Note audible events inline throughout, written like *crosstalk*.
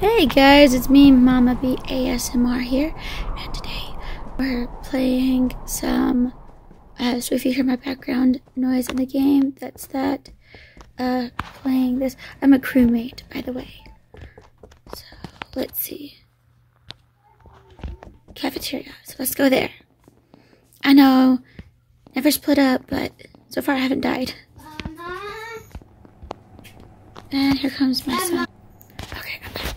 Hey guys, it's me, Mama B ASMR here, and today we're playing some. Uh, so if you hear my background noise in the game, that's that. Uh, playing this. I'm a crewmate, by the way. So let's see. Cafeteria. So let's go there. I know, never split up, but so far I haven't died. And here comes my son. Okay, I'm back.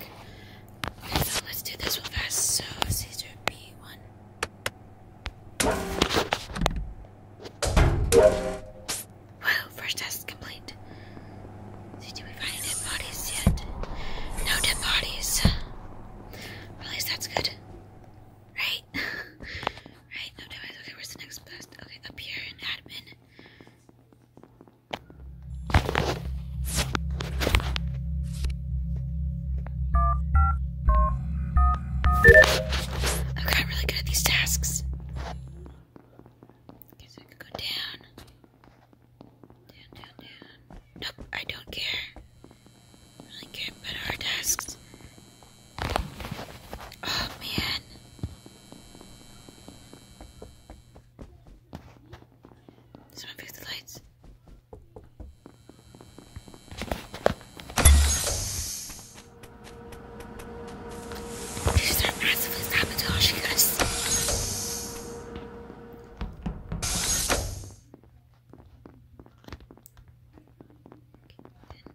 let's do this one fast. So Caesar B1. Wow, first test complete. See, we find any bodies yet? No dead bodies. at least that's good. Right? *laughs* right? no damage. Okay, where's the next best? Okay, up here in admin. I've really good at these tasks. Okay, I could go down. Down, down, down. Nope, I don't care. really care about our tasks. Oh man. Someone fix the lights. These are massively sabotaging us. Okay,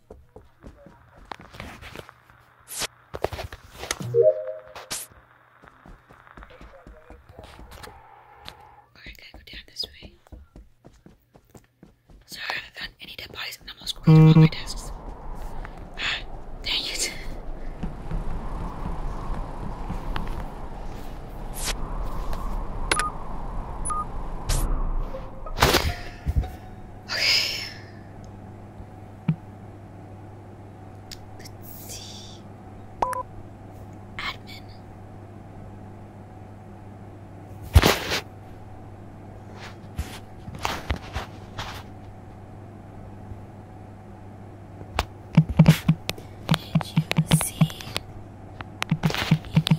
Alright, gotta go down this way. Sorry, I haven't found any dead bodies and I'm almost going to all my desks. Ah, dang it. Okay. Let's see. Admin. Did you see anything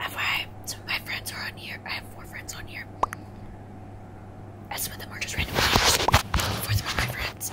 FYI, some of my friends are on here. I have four friends on here. And some of them are just random. Four of them are my friends.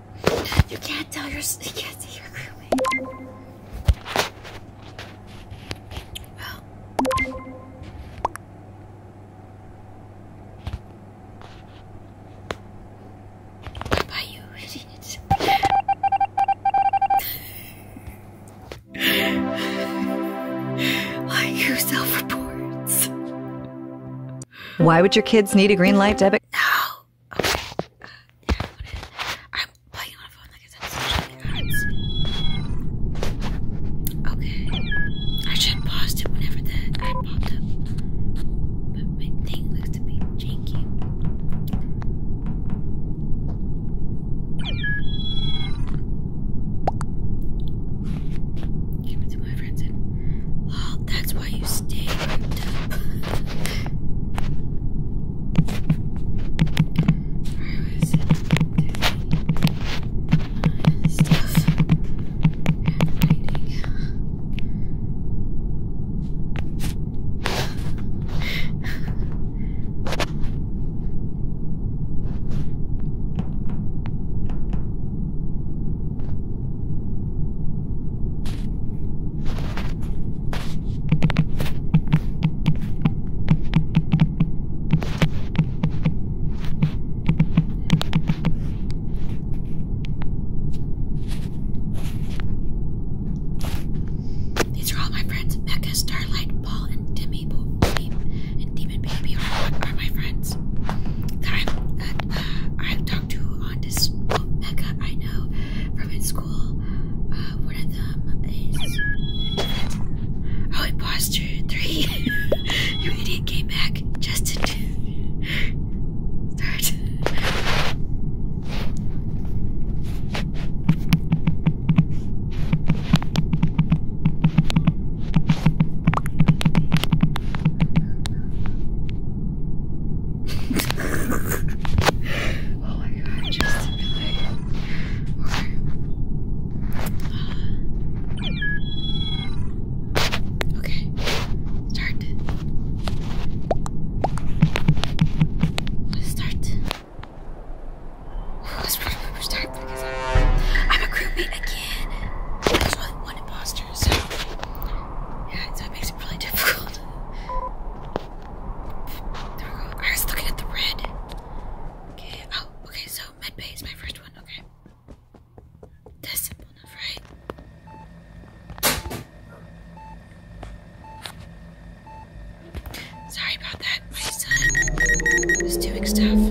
You can't tell your you can't see your crewmate. Well. What you, idiot? Why you self reports? Why would your kids need a green light debit? No okay. yeah, I am playing on a phone like I said, so I Okay. I should have paused it whenever that I popped up. But my thing looks to be janky. Give it my friends and well, that's why you stay ripped up. Where was it? Uh, stuff. These are all my friends. Mecca, Starlight, Paul, and Timmy, and Demon Baby are, my friends that uh, I've, talked to on this. Well, oh, I know, from in school. Uh, one of them is. Oh, imposter three. *laughs* you idiot came back. just to Start oh my god, just to uh, okay. okay, start. start. I'm, a crewmate again. There's one imposter, so yeah, it makes it really difficult. I was looking at the red. Okay. Oh, okay. So medbay is my first one. Okay. That's simple Sorry about that. My son was doing stuff.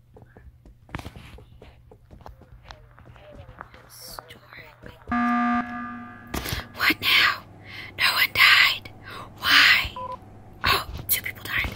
What now? No one died. Why? Oh, two people died.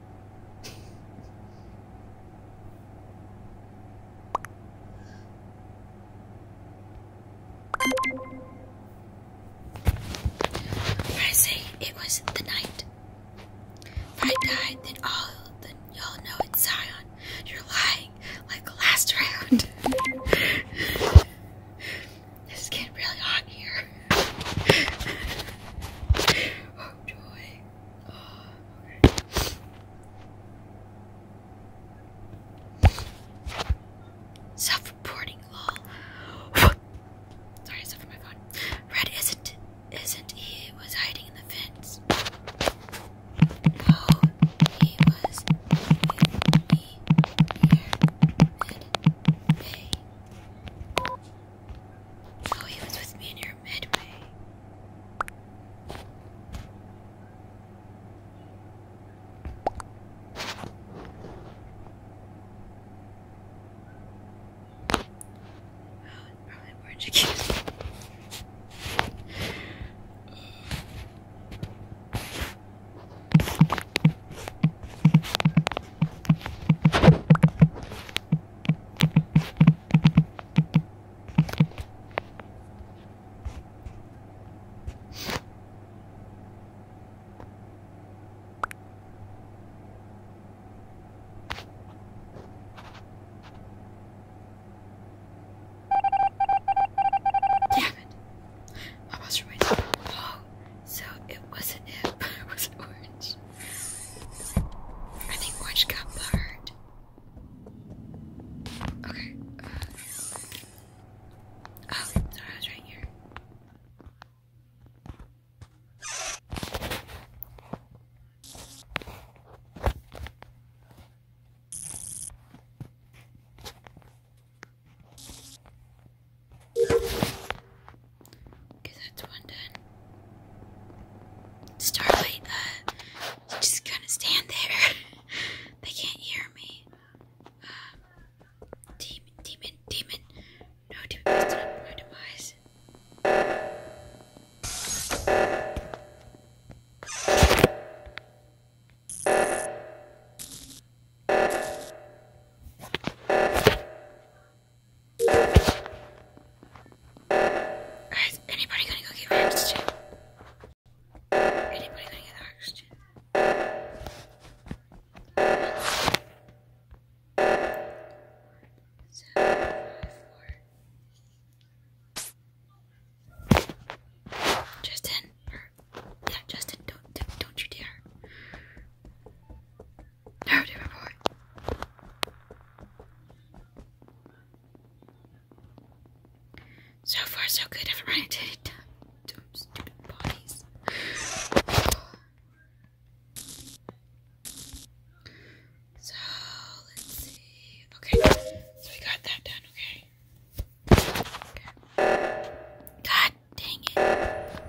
I say it was the night. If I died, then all then y'all know it's Zion. You're lying like last *laughs* round. this getting really hot here oh joy. Oh, Self-reporting law. Sorry, I suffered my phone. Red isn't isn't he was hiding in the fence. No, oh, he was with me here in May. Oh, he was with me in near Midway. Oh, probably orange again. Damn it. I was right. Oh, so it wasn't it, *laughs* it was orange. I think orange got blurred. Okay. Uh, oh, sorry, I was right here. Okay, that's one done. Starlight, uh, just kind of stand there. *laughs* they can't hear me. Um, demon, demon, demon. No, demon, Guys, anybody gonna go get oxygen? Anybody gonna get oxygen? Justin, yeah, Justin, don't, don't, don't you dare. Narrative report. So far, so good. I've run into dumb, stupid bodies. So let's see. Okay, so we got that done. okay. God dang it.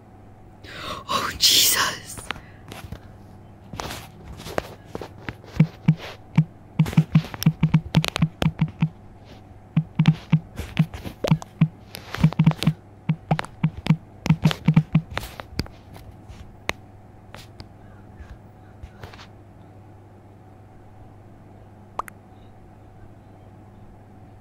Oh, Jesus.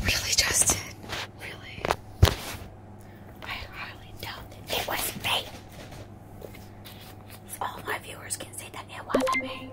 Really, Justin? Really? I highly doubt it was me all my viewers can see that it wasn't me.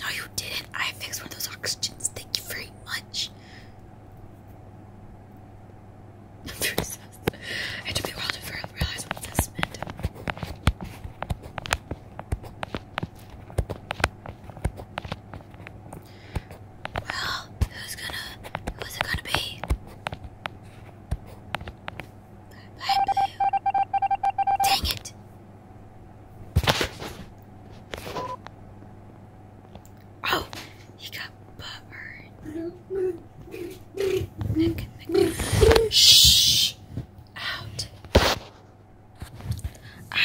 No, you didn't. I fixed one of those oxygens. Thank you very much. *laughs* it took a while to realize what this well, who's gonna, who's it gonna be? Bye, Blue. Dang it! Oh, he got buttered. Shh! Out.